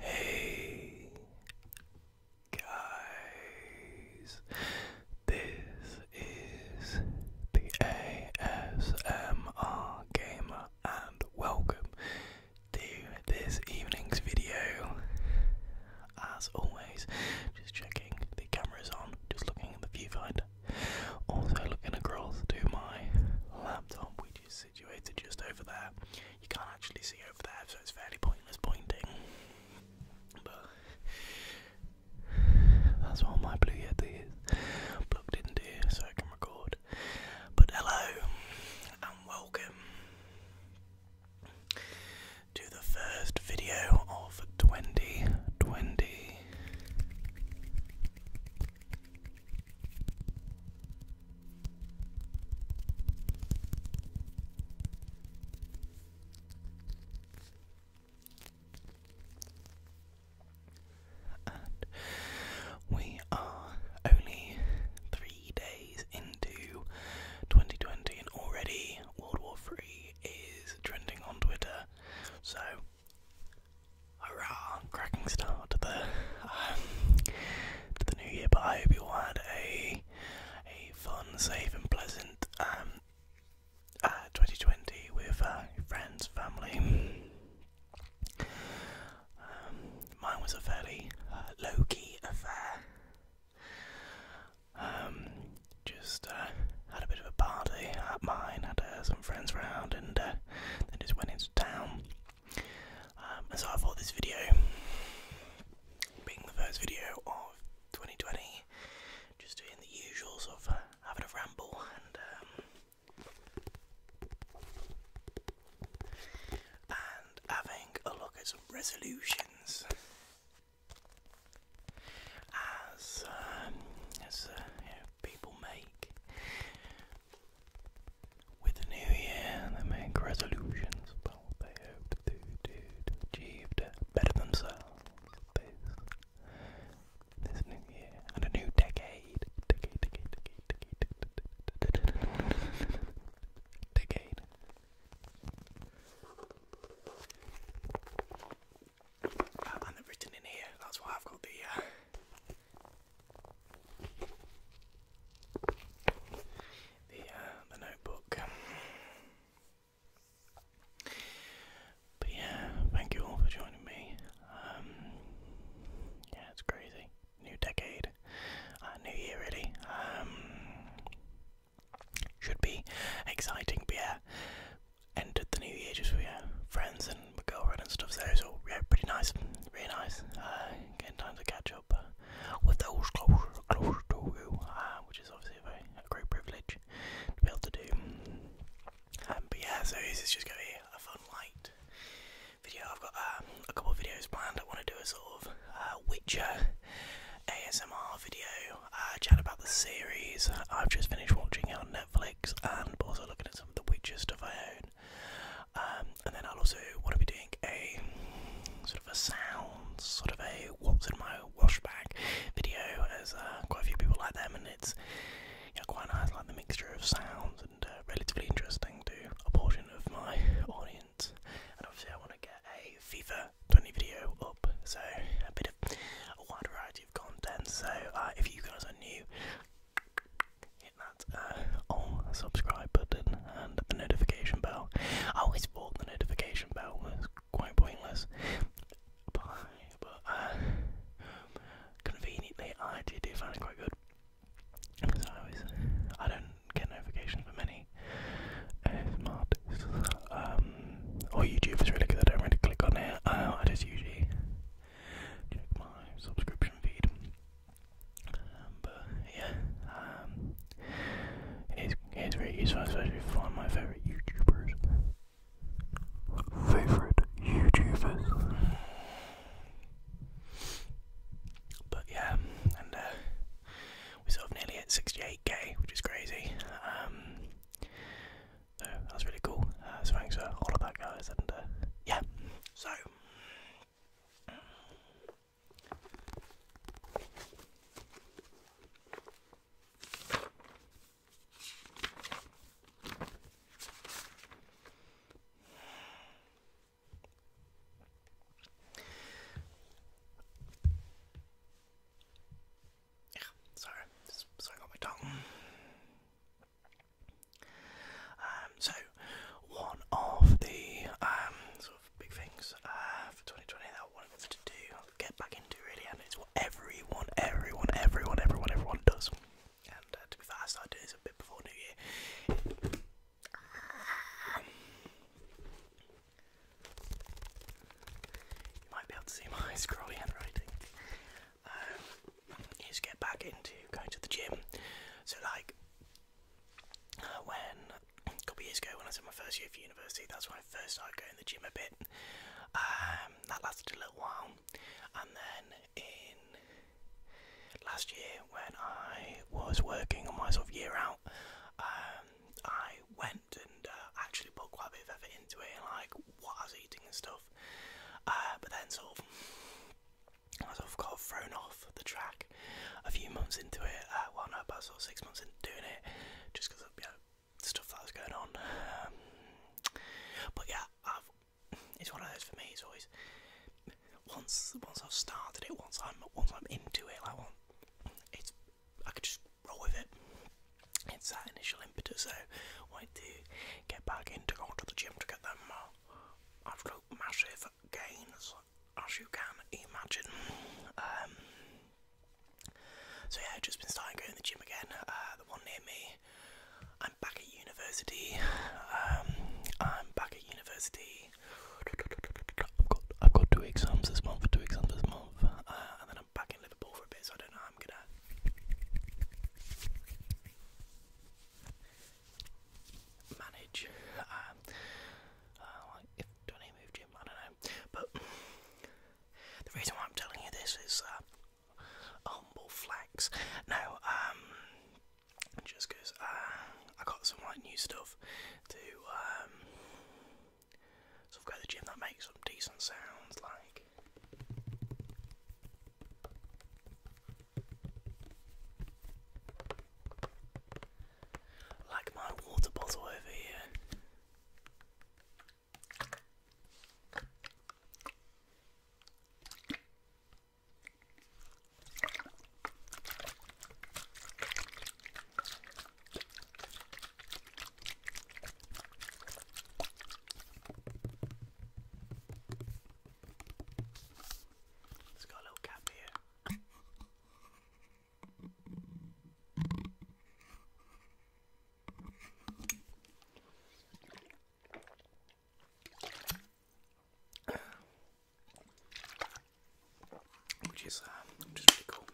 Hey guys, this is the ASMR Gamer, and welcome to this evening's video as always. Just checking the camera is on, just looking in the viewfinder. Also looking across to my laptop, which is situated just over there. You can't actually see over there, so it's fairly pointless pointing. But that's what my Blue Yeti is plugged into, so I can record. But hello and welcome to the first video of 2020. And we are only three days into 2020, and already World War Three is trending on Twitter. So, hurrah! Cracking start to the um, to the new year. But I hope you had a a fun, safe, and pleasant 2020 um, uh, with uh, friends, family. Um, mine was a fairly uh, low key affair. Um, just uh, had a bit of a party at mine, had uh, some friends round, and uh, then just went into town. Um, so I thought this video, being the first video of 2020, just doing the usuals of having a ramble and um, having a look at some resolutions. As as people make with the new year, they make resolutions about what they hope to do to achieve better themselves this, this new year and a new decade, and they're written in here, that's why I've got the uh, uh, the notebook. But yeah, thank you all for joining me. Um, yeah, it's crazy new decade, uh, new year really. Um, should be exciting, but yeah, entered the new year just with friends and my girlfriend and stuff, so yeah, pretty nice, really nice. Uh, getting time to catch up uh, with those close, close to you, uh, which is obviously a, great privilege to be able to do. Um, but yeah, so this is just going to be a fun light video. I've got um, a couple of videos planned. I want to do a sort of uh, Witcher ASMR video, uh, chat about the series I've just finished watching on Netflix, and also looking at some of the Witcher stuff I own. Um, and then I'll also want to be doing a sort of a sound, sort of a what's in my wash bag video, as uh, quite a few people like them, and it's you know, quite nice, like the mixture of sounds, and uh, relatively interesting to a portion of my audience. And obviously, I want to get a FIFA 20 video up, so a bit of a wide variety of content. So uh, if you guys are new, hit that uh, subscribe button and the notification bell. I always thought the notification bell was quite pointless, but, uh, conveniently I did find it quite good. So I was, I don't get notifications for many ASMR uh, um, or YouTube is really good, I don't really click on it, uh, I just usually check my subscription feed, um, but yeah, um, it is, it is really useful, especially for one of my favourite YouTubers, favourite YouTubers. But yeah, and uh, we sort of nearly at 68k, which is crazy. Um, so that's really cool. Uh, so thanks for all of that, guys. And uh, yeah, so. Yeah, sorry, just sorry on my tongue. Um, so one of the um, sort of big things uh, for 2020 that I wanted to do, get back into really, and it's what everyone, everyone, everyone, everyone, everyone does. And uh, to be fair, I started this a bit before New Year. You might be able to see my scrawly handwriting. Um, get back into going to the gym. So like uh, when a couple years ago when I was in my first year of university, that's when I first started going to the gym a bit. Um, that lasted a little while, and then in last year when I was working on my sort of year out, um, I went and uh, actually put quite a bit of effort into it, and like what I was eating and stuff. Uh, but then sort of I sort of got thrown off the track a few months into it. Uh, well, no, about sort of six months into doing it, just because of you know, stuff that was going on. Um, but yeah, I've, it's one of those for me. It's always once once I've started it, once I'm once I'm into it, like once it's I could just roll with it. It's that initial impetus. So I to get back in into going to the gym to get them more uh, absolute massive gains as you can imagine. Um, so yeah, I've just been starting going to the gym again. Uh, the one near me. I'm back at university. Um, I'm back at university. I've got, two exams this month, two exams this month, uh, and then I'm back in Liverpool for a bit, so I don't know how I'm gonna. Manage. Um, do I move gym? I don't know. But the reason why I'm telling you this is uh, humble flex. No, um, just because uh, I got some like new stuff to um, sort of go to the gym that makes some decent sounds like. Like my water bottle over here. It's got a little cap here which is just uh, really cool,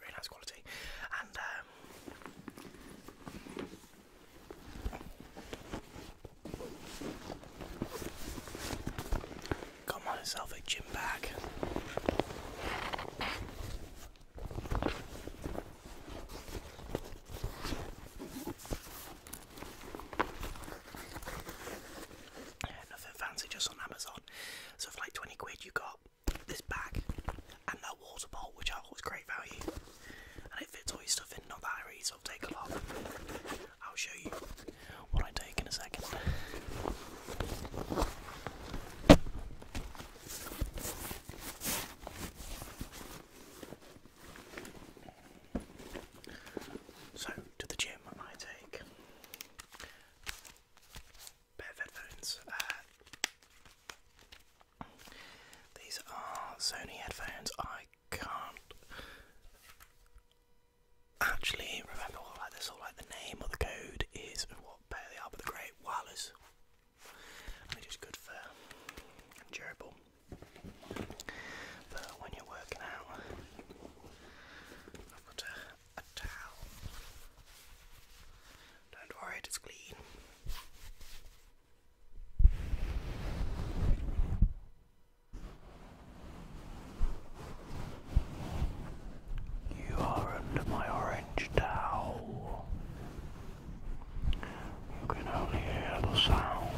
really nice quality, and um, got myself a gym bag nothing fancy, just on Amazon. So for like 20 quid you got this bag and that water bottle, which I thought was great value. And it fits all your stuff in, not that I So I'll take a lot. I'll show you what I take in a second. So, to the gym, I take pair of headphones. Uh, these are Sony headphones. I can't actually remember what like the name or the code is and what pair they are, but they're great wireless. they're just good for durable. But when you're working out, I've got a, towel. Don't worry, it's clean. You are under my orange towel. You can only hear the sounds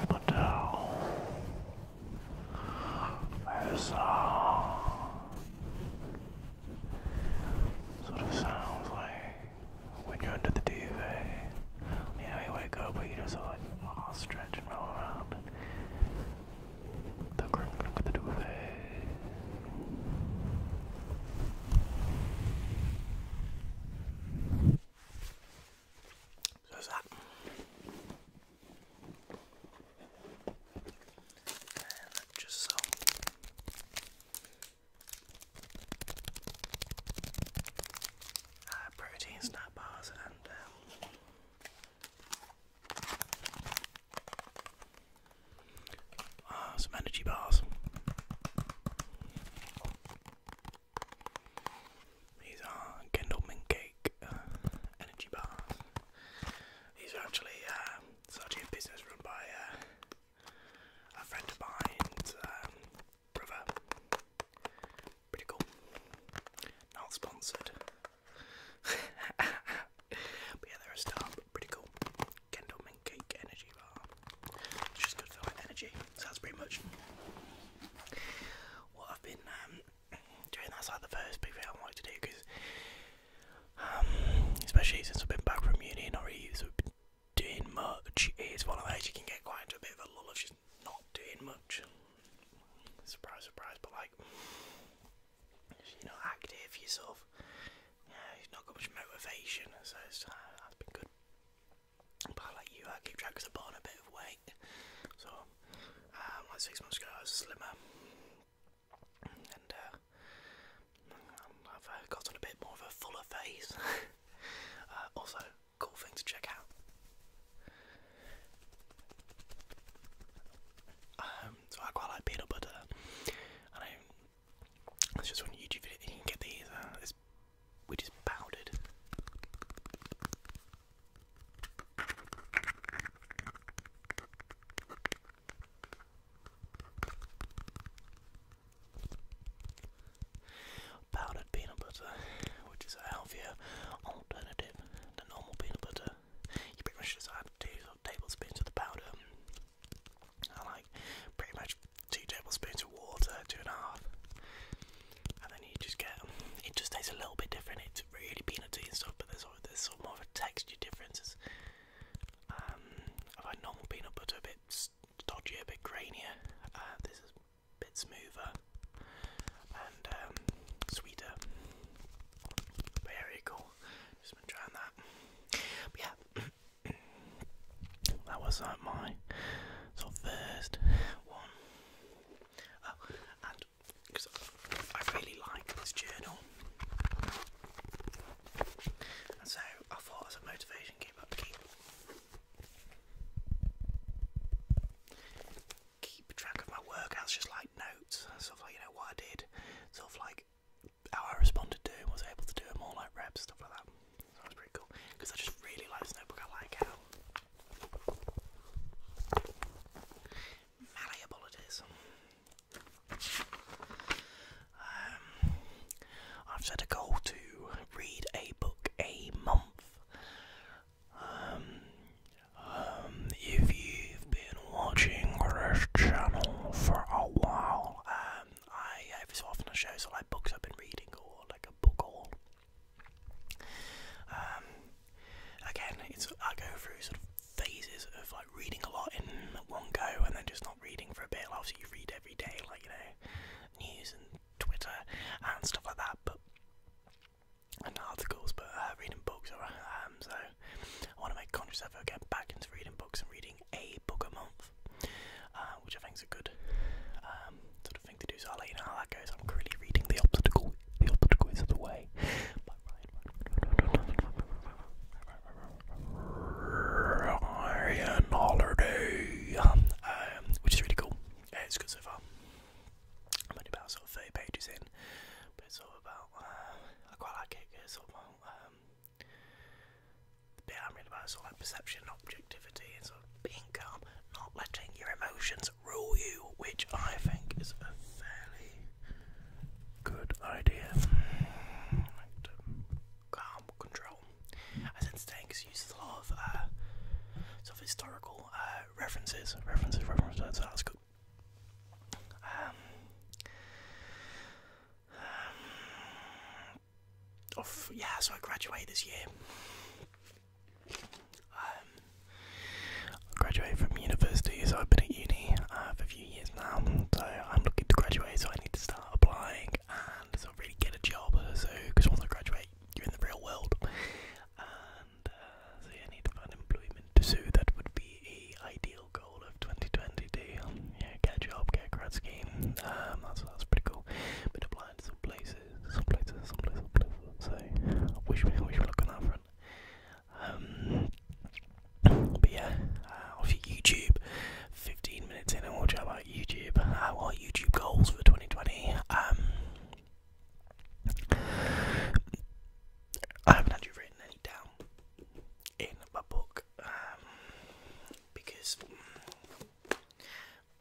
of the town. There's uh, sort of sounds like when you're under the TV. You you wake up, but you just like ah, stretch and roll around. The crinkling of the duvet. So there's that. just so. Uh, protein snack bars and um, Ah, some energy bars. These are Kendall Mint Cake uh, energy bars. These are actually, um, a business run by uh, a friend of mine's um, Pretty cool. Not sponsored. but yeah, they're a pretty cool. Kendall Mint Energy Bar. It's just good for my energy. So that's pretty much what I've been um, doing. That's like the first big thing I wanted to do because, um, especially since we have been back from uni and not really so been doing much, it's one of those you can get quite into a bit of a lull of just not doing much. Surprise, surprise, but like, you're not active, yourself. Yeah, you've not got much motivation, so it's, uh, that's been good. But I like you, I keep track because I put on a bit of weight. So, um, like six months ago, I was slimmer, and uh, um, I've uh, got a bit more of a fuller face. Uh, also, cool thing to check out. Um, so I quite like peanut butter. That's just one YouTube video. You can get these, uh, this, which is powdered. Powdered peanut butter, which is a healthier alternative than normal peanut butter. You pretty much just add two tablespoons of the powder like pretty much two tablespoons of water, two and a half, and then you just get it. Just tastes a little bit different. It's really peanutty and stuff, but there's there's sort more of a texture difference. Um, I normal peanut butter a bit stodgy, a bit grainier. Uh, this is a bit smoother and um, sweeter. Very cool. Just been trying that. yeah. that was like uh, my sort first one. Oh, and because I really like this journal, and so I thought as a motivation keep up, keep track of my workouts, just like notes, sort like you know what I did, sort like how I responded to him was able to do more like reps, stuff like that. So that was pretty cool. Because I just really like this notebook, I like how malleable it is. Um, I've set a goal to read a book a month. Um, um if you've been watching this channel for a while, um, I uh, every so often I show so like books I've been reading or like a book haul. Um, again, it's I go through sort of phases of like reading a lot in one go and then just not reading for a bit. Like obviously, you read every day, like you know, news and Twitter and stuff like that, but and articles, but uh, reading books. Or, um, so I want to make conscious effort, get back into reading books and reading a book a month. Uh, which I think is a good um, sort of thing to do. So I'll let you know how that goes. I'm currently reading The *Optical* The Obstacle is the Way by Ryan Holiday, um, which is really cool. Yeah, it's good so far. I'm only about sort of 30 pages in, but it's all about, uh, I quite like it. It's all about um, the bit I'm really about is all that perception, objectivity, and sort of being calm, not letting your emotions rule you, which I think is a fairly good idea. Calm control. I said today uses a lot of uh, sort of historical uh, references, references, references. that's good. Um, um, yeah, so I graduate this year. Um, I graduate from university, so I've been at uni uh, for a few years now. So I'm looking to graduate, so I need to start applying and sort of really get a job. Uh, so, because once I graduate, you're in the real world, and uh, so you yeah, need to find employment. So that would be the ideal goal of 2020 to yeah, get a job, get a grad scheme. Um, that's that's pretty cool. Been applying to some places, some places, some places, some places. So I wish me wish me luck on that front. Um, but yeah, uh, YouTube. 15 minutes in, I we'll chat about YouTube. Uh, what are YouTube goals for 2020? Um, I haven't actually written any down in my book um, because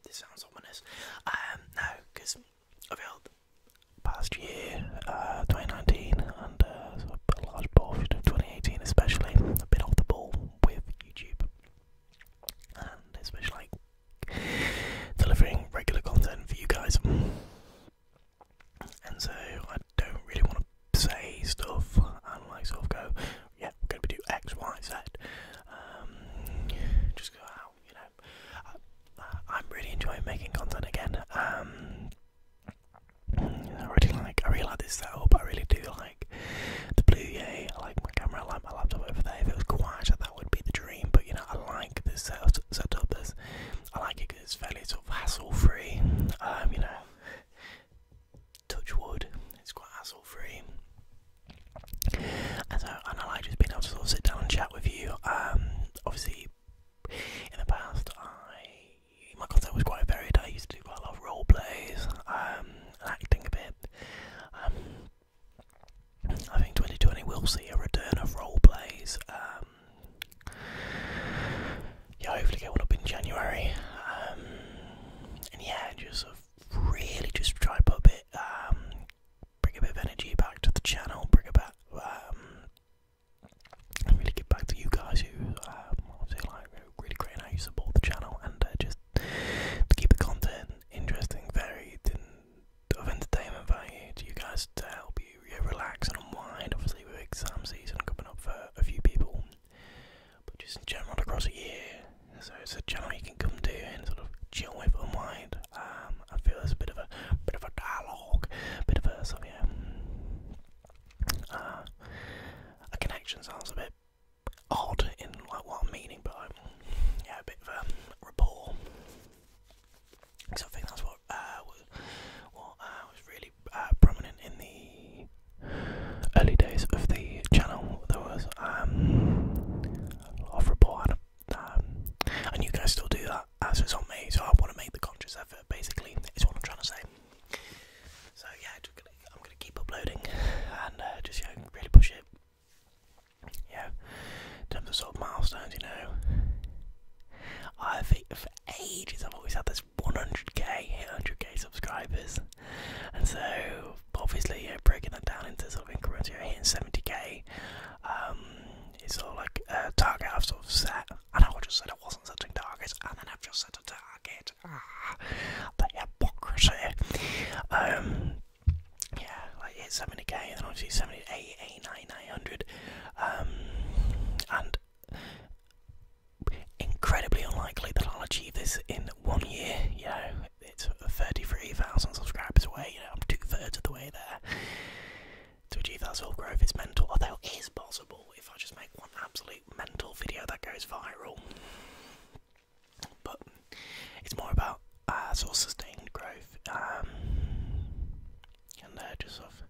this sounds ominous. Um, no, because I felt past year, uh, 2019, and uh, a large portion of 2018, especially, a bit been off the ball with YouTube, and especially like delivering regular content for you guys. And so I don't really want to say stuff and like go, yeah, going to do X, Y, Z. Um, just go out, you know. I, am really enjoying making content again. Um, I really like, I really like this setup. I really do like the blue Yeah, I like my camera. I like my laptop over there. If it was quiet, that would be the dream. But you know, I like this setup. setup this, I like it because it's fairly sort of hassle-free. Um, you know, touch wood, it's quite hassle free. And so, and I like just being able to sort of sit down and chat with you. Um, obviously, in the past, I my content was quite varied. I used to do quite a lot of role plays, um, acting a bit. Um, I think 2020 will see a return of role plays um, yeah, hopefully get one up in January. Um, and yeah, just really just try put a bit, um, bring a bit of energy back to the channel, bring about, um, really give back to you guys who, um, obviously like really great how you support the channel and uh, just to keep the content interesting, varied, of entertainment value you guys to help you relax and unwind. Obviously, with exams season coming up for a few people, but just in general across a year. So it's a channel you can come to and sort of chill with, unwind. Um, I feel there's a bit of a bit of a dialogue, bit of a sort of yeah, uh, a connection sounds a bit odd in like what I'm meaning, but um, yeah, a bit of a um, rapport. So I think that's what what uh, uh, was really uh, prominent in the early days of the channel. There was um, off report. Um, and you guys still do that, As so it's on me. So I want to make the conscious effort. Basically, is what I'm trying to say. So yeah, I'm gonna keep uploading and uh, just you know, really push it. Yeah, in terms of sort of milestones, you know, I think for ages I've always had this. 100k, 100k subscribers. And so, obviously, yeah, breaking that down into sort of increments, you're hitting 70k. it's sort of like a target I've sort of set. I know I just said I wasn't setting targets, and then I've just set a target. Ah, the hypocrisy. Um, yeah, like 70k, and then obviously 70, 80, 89, 900. Um, and incredibly unlikely that I'll achieve this in one year. You know, it's 33,000 subscribers away. You know, I'm two thirds of the way there. To achieve that sort of growth is mental, although it is possible if I just make one absolute mental video that goes viral. But it's more about uh, sort of sustained growth um, and uh, just of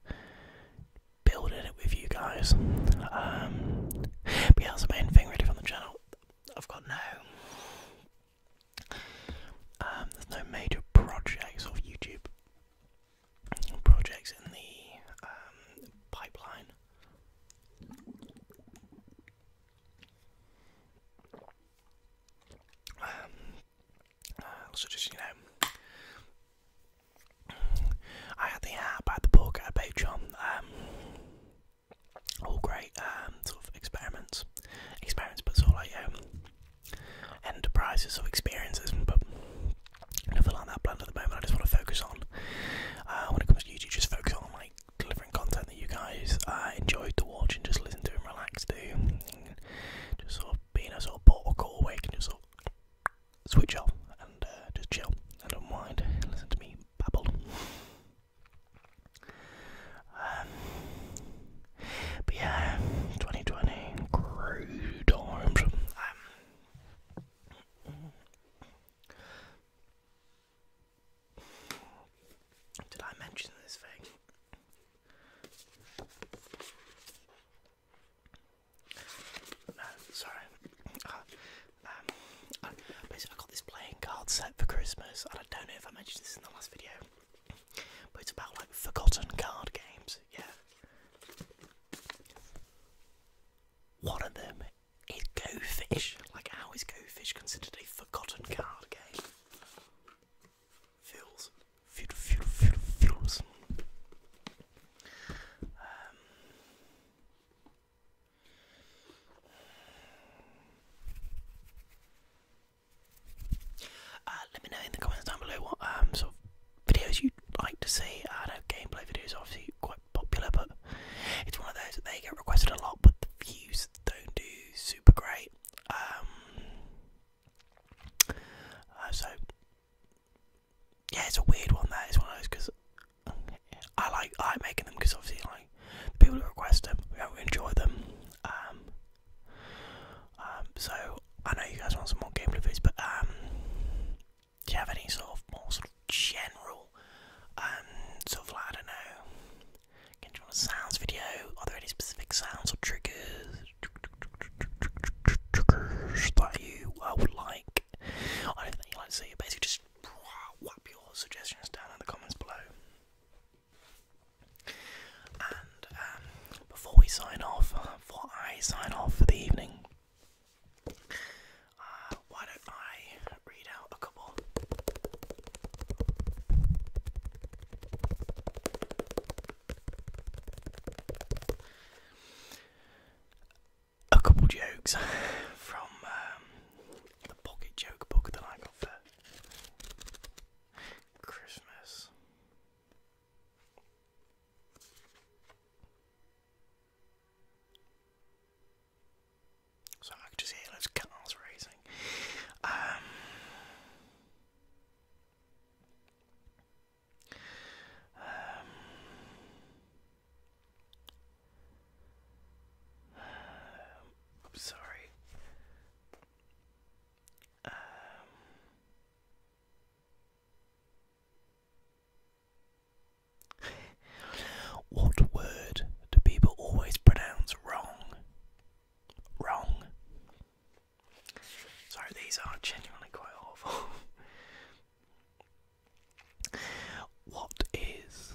building it with you guys. Um, but yeah, that's the main thing really from the channel. I've got no. Um, there's no major projects of YouTube projects in the um, pipeline. Uh, so just you know, I had the app, I had the book, I had Patreon. Um, all great um, sort of experiments, experiments, but sort of um, enterprises or experiences. But nothing like that planned at the moment. I just want to focus on uh, when it comes to YouTube, just focus on like delivering content that you guys uh, enjoy to watch and just listen to and relax to. just sort of being a sort of portal awake and just sort switch off and uh, just chill and unwind and listen to me babble. Um, but yeah, 2020, crude times. Um, did I mention this thing? No, sorry. Ah, um, basically, I got this playing card set for Christmas, and I don't know if I mentioned this in the last video, but it's about like forgotten card games. Yeah. One of them is Go Fish. Like, how is Go Fish considered a forgotten card game? Um, uh, let me know in the comments down below what um, sort of videos you'd like to see. I know gameplay videos obviously quite popular, but it's one of those that they get requested a lot, but the views don't do super great. Um, uh, so yeah, it's a weird one. That is one of those because I like I making them because obviously like people who request them, we enjoy them. Um, um, so I know you guys want some more game reviews, but um, do you have any sort of more sort of general um, sort of I don't know, can you want a sounds video? Are there any specific sounds or triggers? triggers that you uh, would like. I you like to see Basically, just whap your suggestions down in the comments below. And um, before we sign off, before I sign off for the evening, uh, why don't I read out a couple? a couple jokes from the um, pocket joke book that I got for Christmas. So I could just hear those cars racing. Um, um, I'm sorry. Um, what word do people always pronounce wrong? Wrong. Sorry, these are genuinely quite awful. what is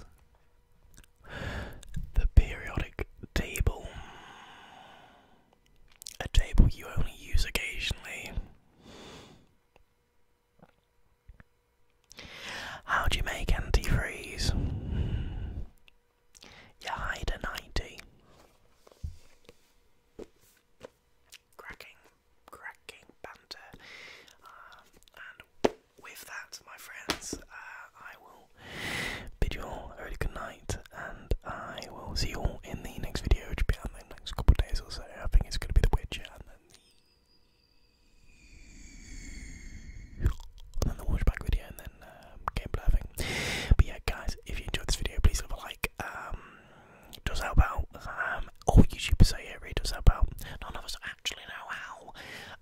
the periodic table? A table you only use occasionally. How do you make antifreeze? You hide a 90 cracking, cracking banter. Um, and with that, my friends, uh, I will bid you all a good night, and I will see you all in the next video, which will be in the next couple days or so. I think it's going to be The Witcher, and then the, and video, and then than um, But yeah, guys, if you enjoyed this video, please leave a like. Um, it does help out. Um, all YouTubers say it really does help out. None of us actually know how,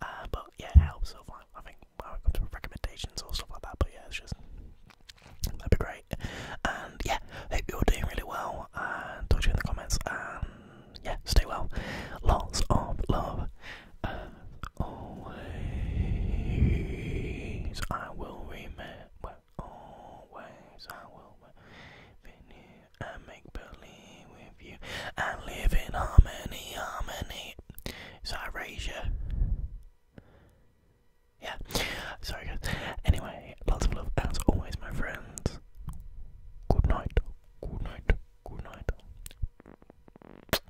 uh, but yeah, helps. So I think when recommendations or stuff like that. But yeah, it's just that'd be great. And yeah, hope you're doing really well. talk to you in the comments. And yeah, stay well. Lots of love. always, I will remain but always I will venue I make believe with you and live in harmony, harmony. So Yeah. Sorry guys. Anyway, lots of love as always my friends. Good night. Good night. Good night.